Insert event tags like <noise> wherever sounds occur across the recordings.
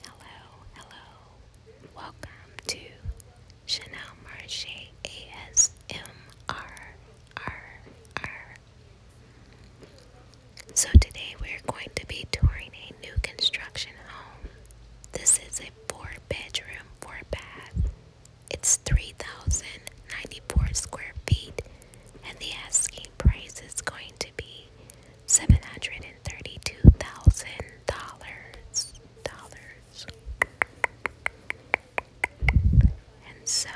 Hello, hello. Welcome to Chanel Marche ASMRRR. So today we're going to be touring a new construction home. This is a four bedroom, four bath. It's 3,094 square feet and the asking price is going to be seven hundred and thirty-two thousand dollars dollars. And so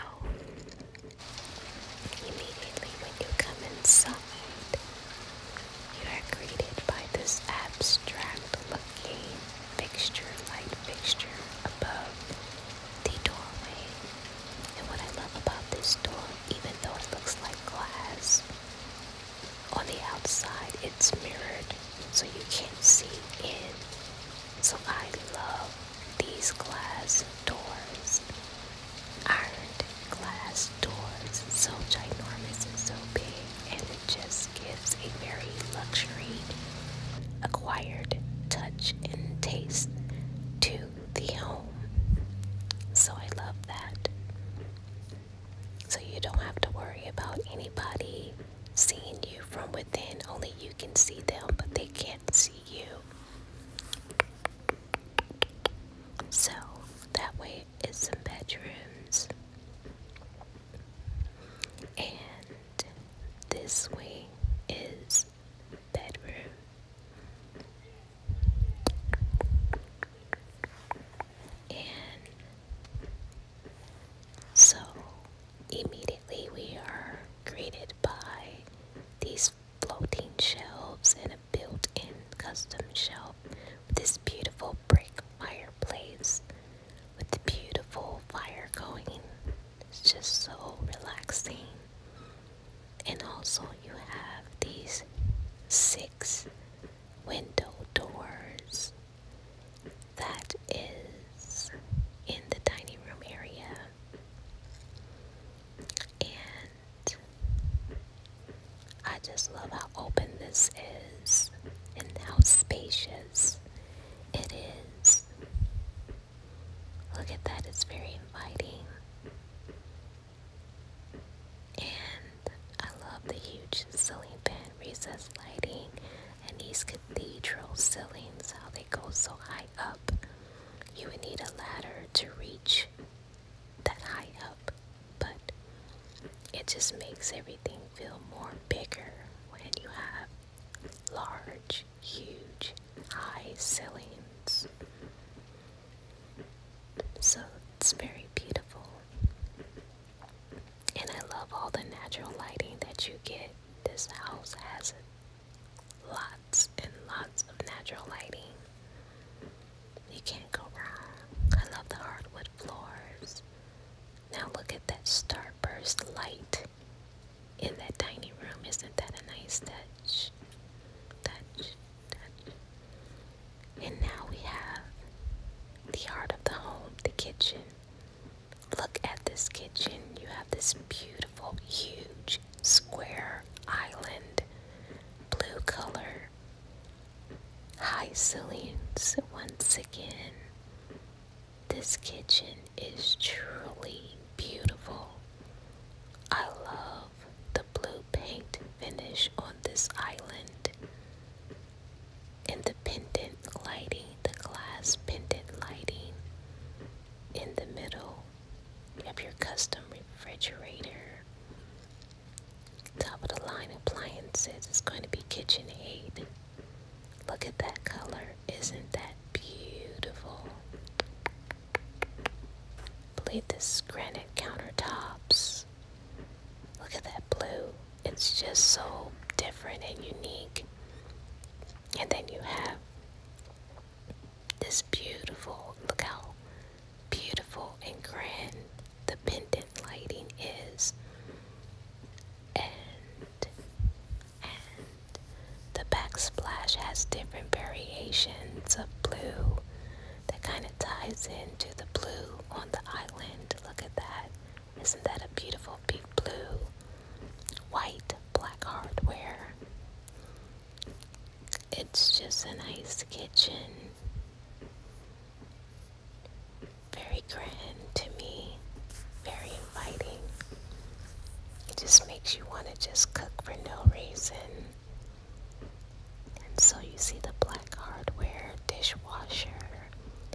immediately when you come inside, you are greeted by this abstract-looking fixture, light fixture above the doorway. And what I love about this door, even though it looks like glass, on the outside, it's mirrored so you can't see in. So I love these glass doors. Ironed glass doors, so ginormous and so big, and it just gives a very luxury acquired touch and taste to the home. So I love that. So you don't have to worry about anybody seeing you from within. Only you can see them, but they can't see you. So that way is some bedrooms. And this way is bedroom so immediately we are greeted by these floating shelves and a built in custom shelf with this beautiful brick fireplace with the beautiful fire going. It's just so relaxing and also you have these six window doors that is in the dining room area and I just love how open this is and how spacious it is. Look at that, it's very inviting. And I love the huge ceiling fan recess lighting and these cathedral ceilings, how they go so high up. You would need a ladder to reach that high up, but it just makes everything feel more bigger when you have large, huge, high ceilings. So it's very beautiful. And I love all the natural lighting that you get. This house has lots and lots of natural lighting. You can't go wrong. I love the hardwood floors. Now look at that starburst light in that tiny room. Isn't that a nice touch? And now we have the heart of the home, the kitchen. Look at this kitchen. You have this beautiful, huge, square island, blue color, high ceilings once again. This kitchen is truly beautiful. I love the blue paint finish on this island. In the pendant lighting, the glass pendant lighting in the middle, of your custom refrigerator. Top of the line appliances is going to be Kitchen Aid. Look at that color. Isn't that beautiful? Look at this granite countertops. Look at that blue. It's just so different and unique. And then you have this beautiful, look how beautiful and grand the pendant lighting is. And, and the backsplash has different variations of blue that kind of ties into the blue on the island. Look at that. Isn't that a beautiful deep blue, white, black hardware? It's just a nice kitchen. Very grand to me, very inviting. It just makes you want to just cook for no reason. And so you see the black hardware dishwasher.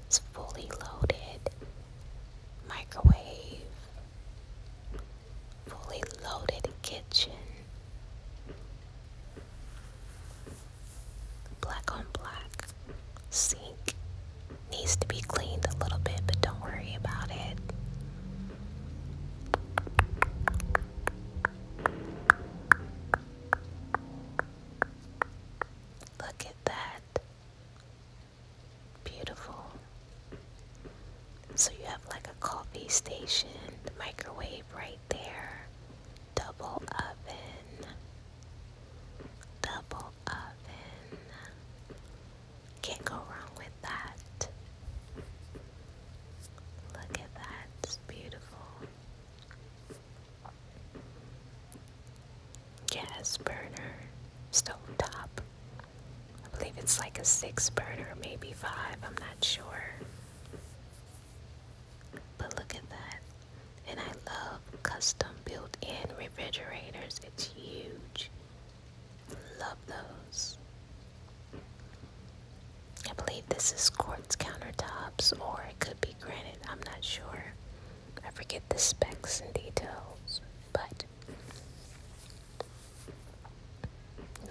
is fully loaded. Microwave. Fully loaded kitchen. Black on black. Sink. Needs to be cleaned a little bit, but don't worry about it. Look at that. Beautiful. So you have like a coffee station, the microwave right there, double oven, double oven. Can't go wrong with that. Look at that, it's beautiful. Gas burner, stove I believe it's like a six burner, maybe five, I'm not sure. But look at that. And I love custom built in refrigerators, it's huge. Love those. I believe this is quartz countertops or it could be granite. I'm not sure. I forget the specs and details, but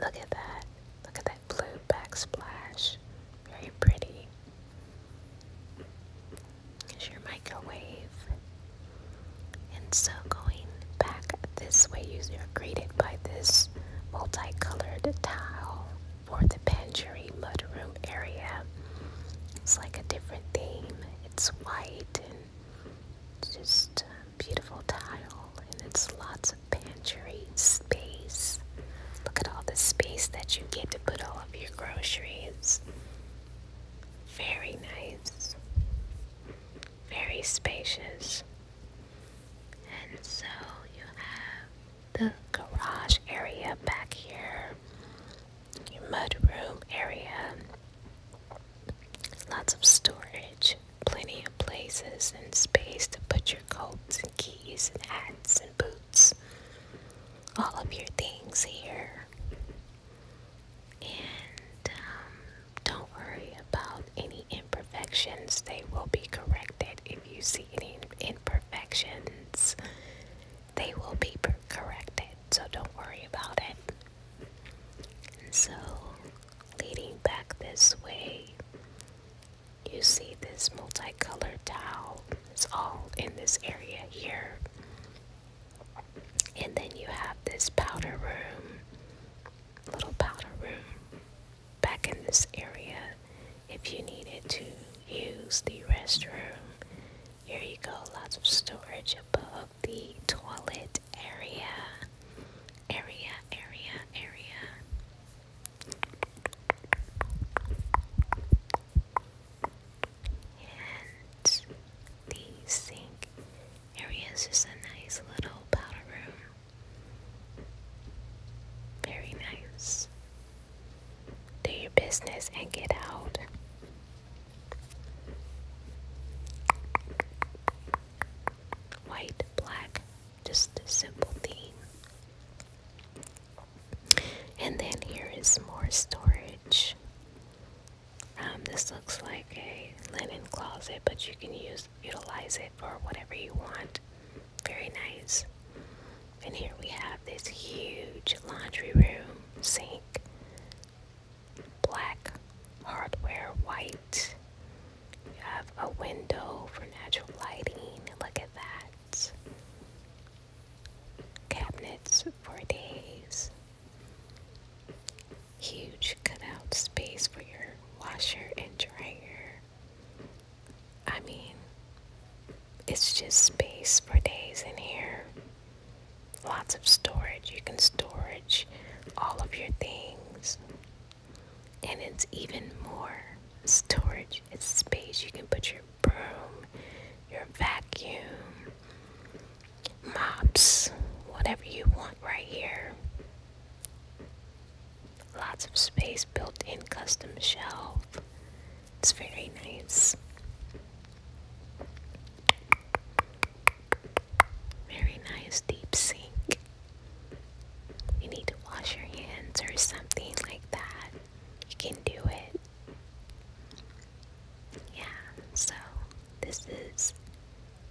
look at that. Look at that blue backsplash. Very pretty. Here's your microwave. And so going back this way, use greeted by this multicolored tile for the pantry mudroom area. It's like a different theme. It's white and it's just beautiful tile, and it's lots of pantry space. Look at all the space that you get to put all of your groceries. Very nice very spacious. And so you have the garage area back here, your mudroom area, lots of storage, plenty of places and space to put your coats and keys and hats and boots, all of your things here. And um, don't worry about any imperfections, they will be corrected. If you see any imperfections, they will be corrected, so don't worry about it. So, leading back this way, you see this multicolored towel. It's all in this area here. And then you have this powder room little powder room back in this area if you needed to use the restroom. Here you go, lots of storage above the toilet area. Area, area, area. And the sink area is just a nice little powder room. Very nice. Do your business and get out. White, black, just a simple theme. And then here is more storage. Um, this looks like a linen closet, but you can use utilize it for whatever you want. Very nice. And here we have this huge laundry room sink. Black hardware, white. You have a window for natural lighting. Look at that. Cabinets for days huge cutout space for your washer and dryer. I mean, it's just space for days in here. Lots of storage. You can storage all of your things. And it's even more storage. It's space. You can put your broom, your vacuum, mops, whatever you want right here. Lots of space built in custom shelf. It's very nice. Very nice deep sink. You need to wash your hands or something like that. You can do it. Yeah, so this is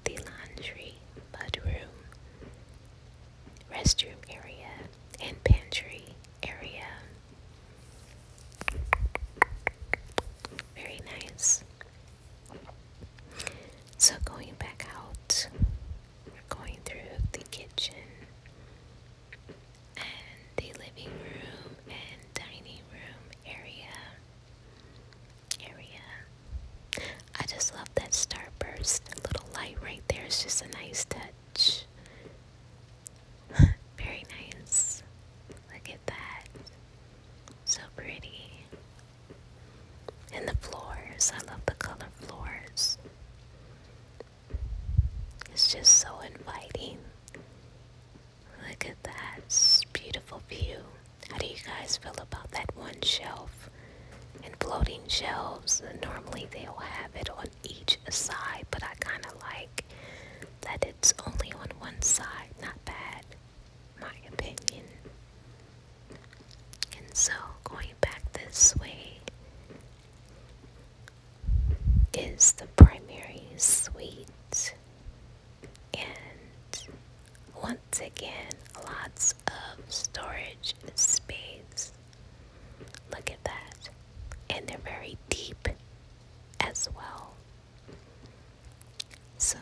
the laundry mudroom, restroom area, and pantry area. Very nice. So, going back out, we're going through the kitchen and the living room and dining room area area. I just love that starburst little light right there. It's just a nice touch. <laughs> Very nice. Look at that. So pretty. And the floors. I love the color floors. It's just so inviting. Look at that. beautiful view. How do you guys feel about that one shelf? And floating shelves, normally they'll have it on each side, but I kind of like that it's only on one side. Not bad, my opinion. And so, going back this way is the primary suite. And once again, lots of storage space. Look at that. And they're very deep as well. So,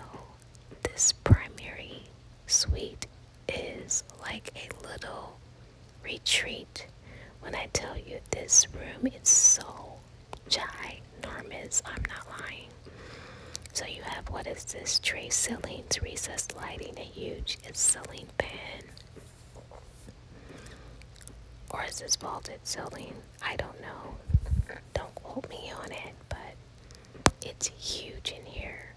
this primary suite is like a little retreat. When I tell you this room is so ginormous, I'm not lying. So you have what is this tray ceiling, recessed lighting, a huge ceiling pan, Or is this vaulted ceiling? I don't know. Don't quote me on it, but it's huge in here.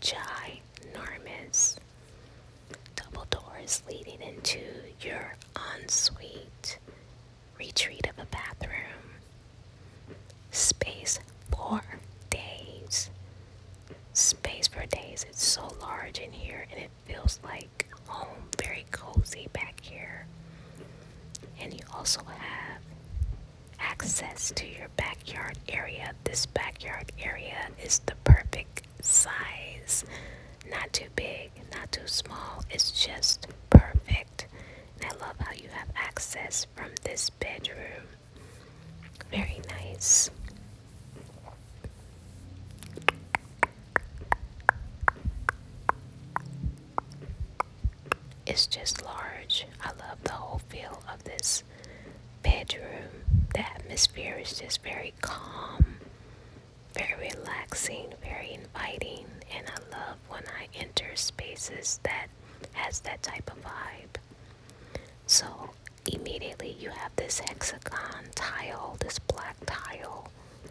Ginormous. Double doors leading into your ensuite retreat of a bathroom. Space for days. Space for days. It's so large in here and it feels like home. Very cozy back here. And you also have access to your backyard area. This backyard area is the perfect size. Not too big, not too small. It's just perfect. And I love how you have access from this bedroom. Very nice. It's just large. I love the whole feel of this bedroom. The atmosphere is just very calm, very relaxing, very inviting, and I love when I enter spaces that has that type of vibe. So immediately you have this hexagon tile, this black tile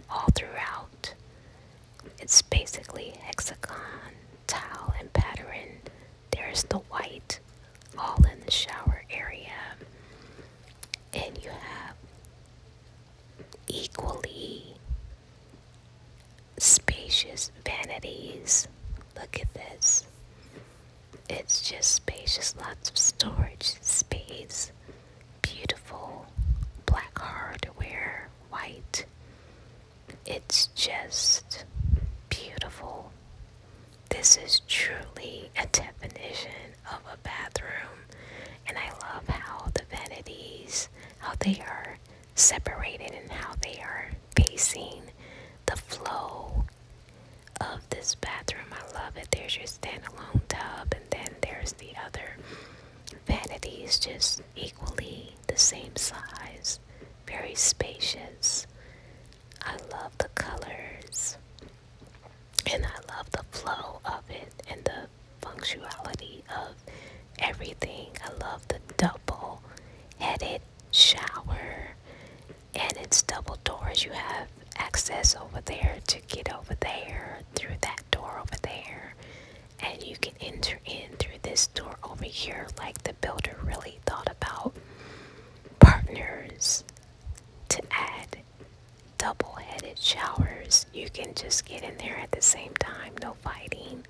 all throughout. It's basically hexagon tile and pattern. There's the white all in the shower area. And you have equally spacious vanities. Look at this. It's just spacious, lots of storage space. Beautiful black hardware, white. It's just beautiful. This is truly a definition of a bathroom, and I love how the vanities, how they are separated and how they are pacing the flow of this bathroom. I love it. There's your standalone tub, and then there's the other vanity. is just equally the same size, very spacious. I love the colors, and I love the flow of it and the functionality of everything. I love the double headed shower and it's double doors. You have access over there to get over there through that door over there. And you can enter in through this door over here, like the builder really thought about partners to add double headed showers. You can just get in there at the same time, no fighting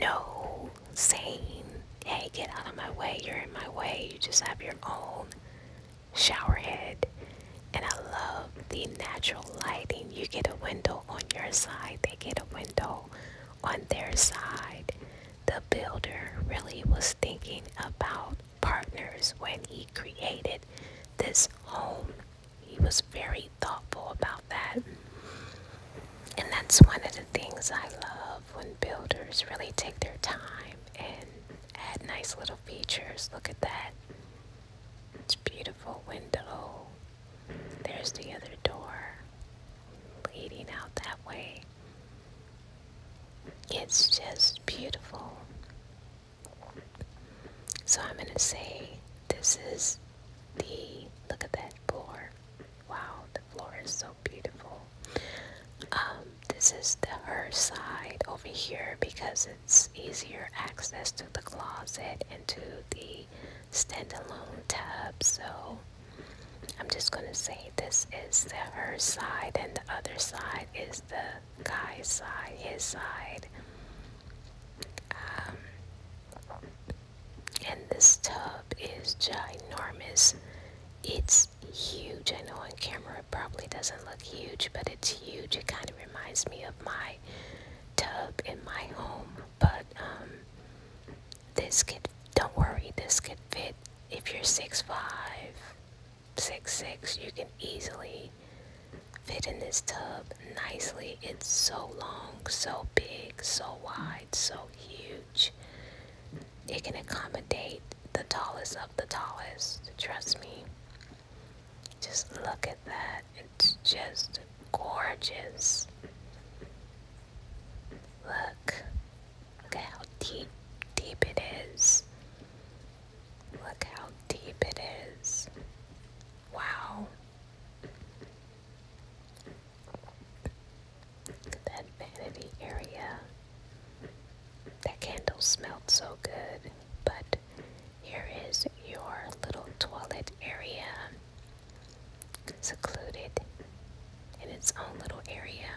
no saying, hey, get out of my way, you're in my way. You just have your own shower head. And I love the natural lighting. You get a window on your side, they get a window on their side. The builder really was thinking about partners when he created this home he was very thoughtful about that. And that's one of the things I love when builders really take their time and add nice little features. Look at that. It's beautiful window. There's the other door leading out that way. It's just beautiful. So I'm going to say this is the look at that floor. Wow, the floor is so beautiful. Um, this is the her side over here because it's easier access to the closet and to the standalone tub. So I'm just gonna say this is the her side and the other side is the guy's side, his side. Um, and this tub is ginormous. It's huge. I know on camera it probably doesn't look huge, but it's huge. It kind of reminds me of my tub in my home. But um, this could, don't worry, this could fit. If you're 6'5, 6'6, you can easily fit in this tub nicely. It's so long, so big, so wide, so huge. It can accommodate the tallest of the tallest. Trust me. Just look at that. It's just gorgeous. Look. Look how deep, deep it is. Look how deep it is. Wow. That vanity area. That candle smelled so good, but here is your little toilet area. Secluded in its own little area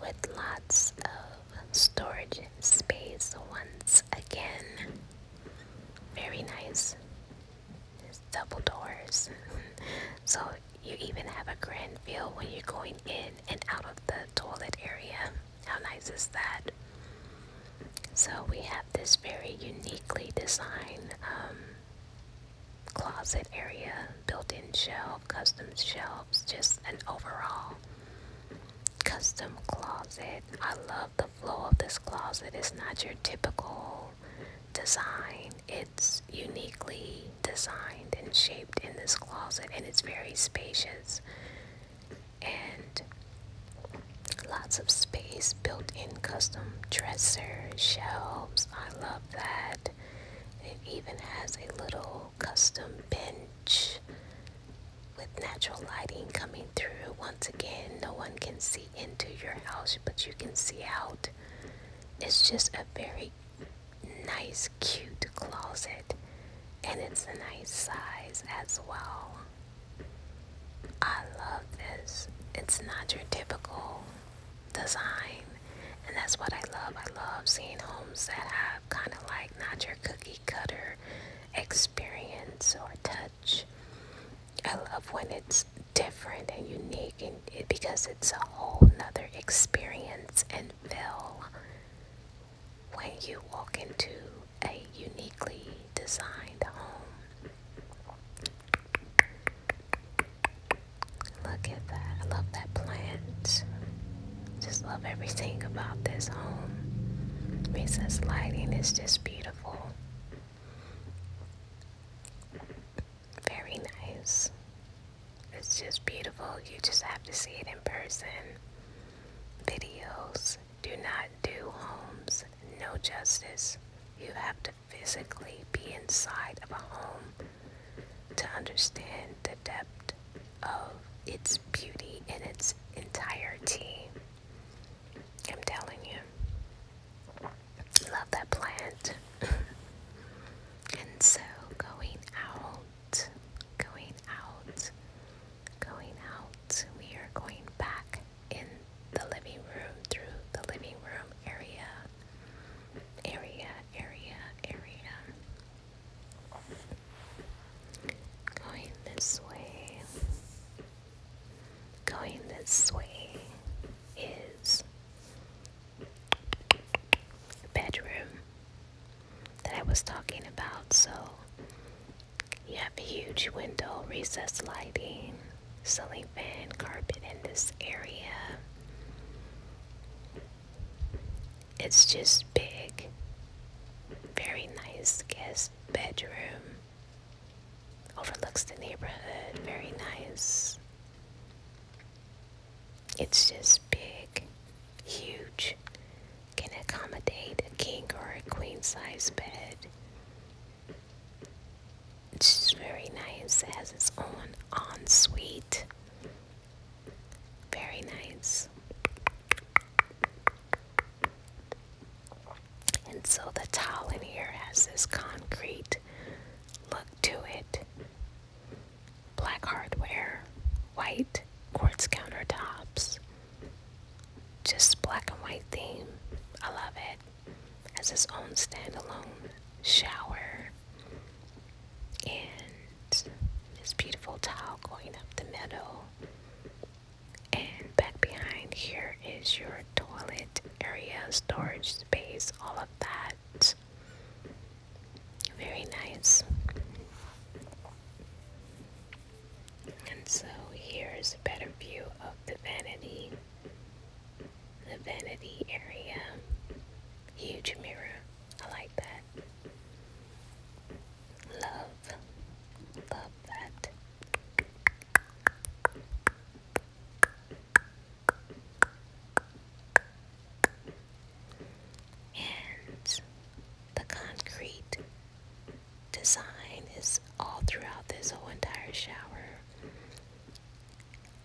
with lots of storage space once again. Very nice. double doors. <laughs> so you even have a grand view when you're going in and out of the toilet area. How nice is that? So we have this very uniquely designed um, closet area, built-in shelf, custom shelves, just an overall custom closet. I love the flow of this closet. It's not your typical design. It's uniquely designed and shaped in this closet and it's very spacious and lots of space built in custom dresser shelves. I love that. It even has a little custom bench with natural lighting coming through. Once again, no one can see into your house, but you can see out. It's just a very nice, cute closet, and it's a nice size as well. I love this. It's not your typical design, and that's what I love. I love seeing homes that have kind of like not your cookie cutter experience or touch. I love when it's different and unique and because it's a whole other experience and feel when you walk into a uniquely designed home. Look at that. I love that plant. Just love everything about this home. Recess lighting is just beautiful. Very nice. It's just beautiful. You just have to see it in person. Videos do not do homes no justice. You have to physically be inside of a home to understand the depth of its beauty in its entirety. I'm telling you, love that plant. <laughs> and so, going out, going out, going out, we are going back in the living room through the living room area, area, area, area. Going this way, going this way is the bedroom that I was talking about. So you have a huge window, recessed lighting, ceiling fan, carpet in this area. It's just big. Very nice guest bedroom. Overlooks the neighborhood. Very nice. It's just big, huge. Can accommodate a king or a queen size bed. It's just very nice. It has its own ensuite. Very nice. And so the towel in here has this concrete look to it. Black hardware, white quartz countertops. Just black and white theme. I love it. Has its own standalone shower. And this beautiful towel going up the middle. And back behind here is your toilet area, storage space, all of that. Very nice. And so here's a better view of the vanity. The vanity area. Huge mirror. I like that. Love, love that. And the concrete design is all throughout this whole entire shower.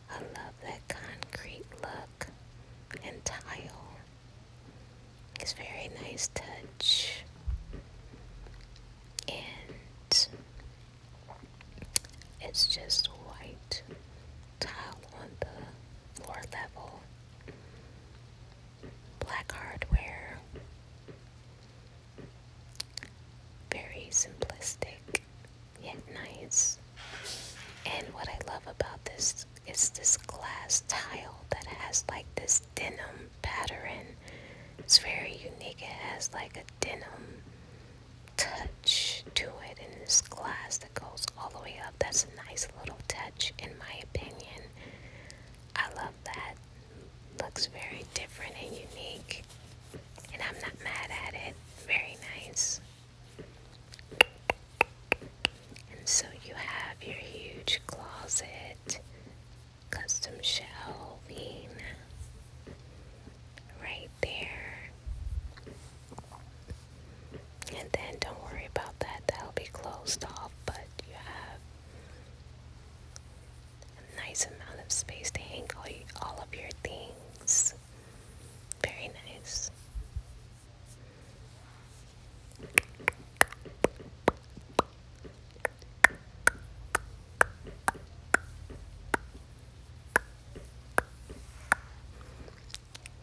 I love that concrete look and tile. It's very nice touch. And it's just white tile on the floor level. Black hardware. Very simplistic yet nice. And what I love about this it's this glass tile that has like this denim pattern. It's very unique. It has like a denim touch to it and this glass that goes all the way up. That's a nice little touch in my opinion. I love that. Looks very different and unique. And I'm not mad at it. Very nice. And so you have your huge closet, custom shelving right there. And then don't worry about that, that'll be closed off, but you have a nice amount of space to hang all, all of your things. Very nice.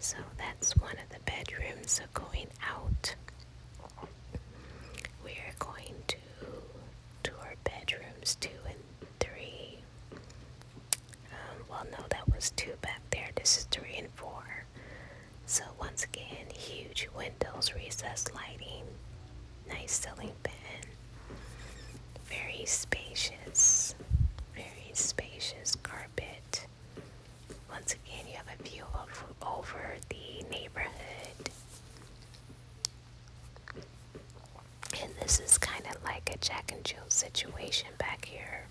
So that's one of the bedrooms. So going out, we're going to tour bedrooms two and three. Um, well, no, that was two back there. This is three and four. So once again, huge windows, recessed lighting, nice ceiling fan, very spacious, very spacious carpet. Once again, you have a view of over the neighborhood. And this is kind of like a Jack and Jill situation back here.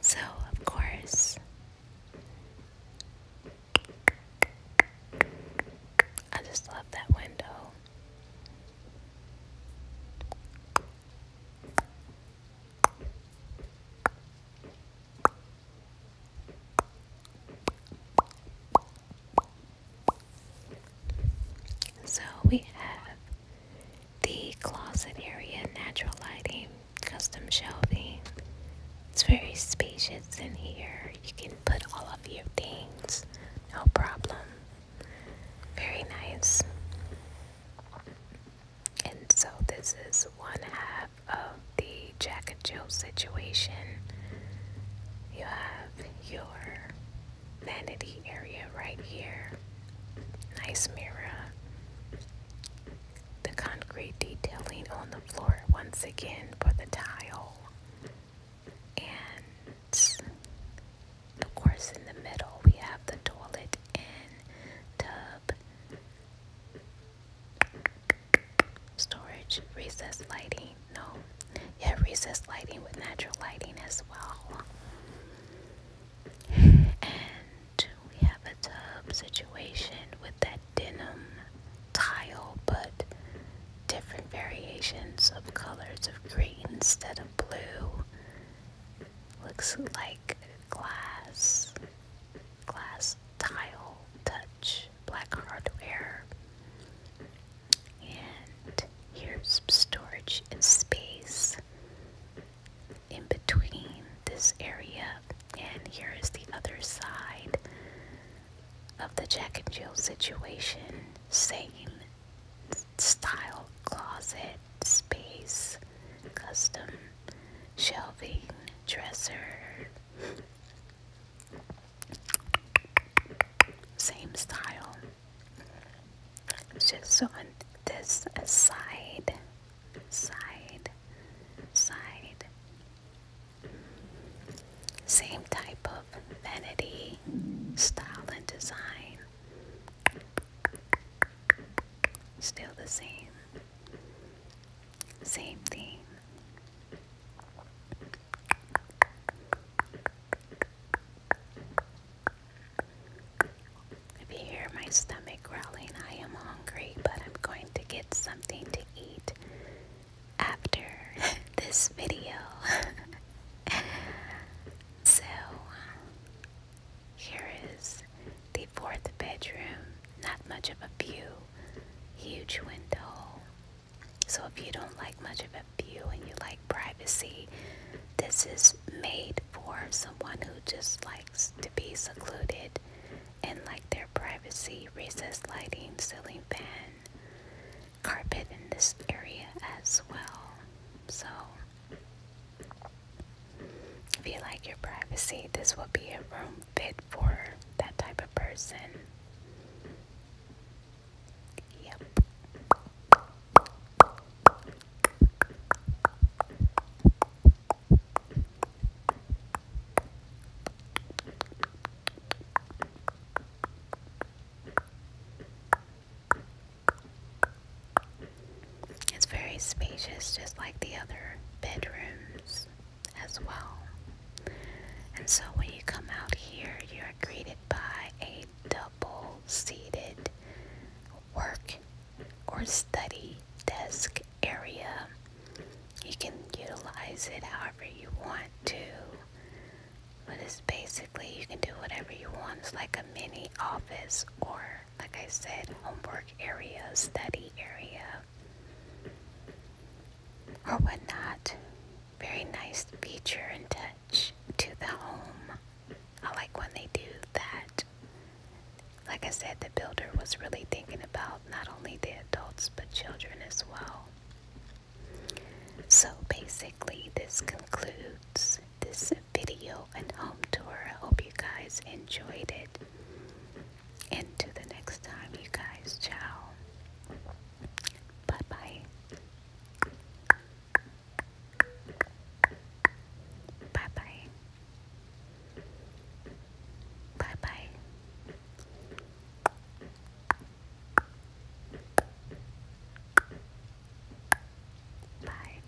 So, of course, I just love that window. So we have the closet area, natural lighting, custom shelving. It's very spacious in here. You can put all of your things, no problem. Very nice. And so this is one half of the Jack and Jill situation, you have your vanity area right here. Nice mirror. The concrete detailing on the floor once again for the tile. And of course, in the middle, we have the toilet and tub. Storage, recess lighting, no. Yeah, recess lighting with natural lighting as well. And we have a tub situation with that denim tile, but different variations of colors of green instead of blue. Looks like glass, glass tile touch much black hardware. And here's some storage and space in between this area. And here is the other side of the Jack and Jill situation. Same style closet, space, custom shelving, dresser. Same style. Just so on this side, side, side. Same type of vanity, style, and design. Still the same. Same thing. If you hear my stomach growling, I am hungry, but I'm going to get something to eat after <laughs> this video. <laughs> so, here is the fourth bedroom not much of a view, huge window. So if you don't like much of a view and you like privacy, this is made for someone who just likes to be secluded and like their privacy, recessed lighting, ceiling fan, carpet in this area as well. So if you like your privacy, this will be a room fit for that type of person. Yep. It's very spacious, just like the other bedrooms as well. And so when you come out here, you're greeted by a double seated work or study desk area. You can utilize it however you want to. But it's basically you can do whatever you want. It's like a mini office or, like I said, homework area, study area or whatnot. Very nice feature and touch to the home. I like when they do that. Like I said, the builder was really thinking about not only the adults but children as well. So basically, this concludes this video and home tour. I hope you guys enjoyed it. Into the next time, you guys. Ciao. Bye bye. Bye bye. Bye bye. Bye.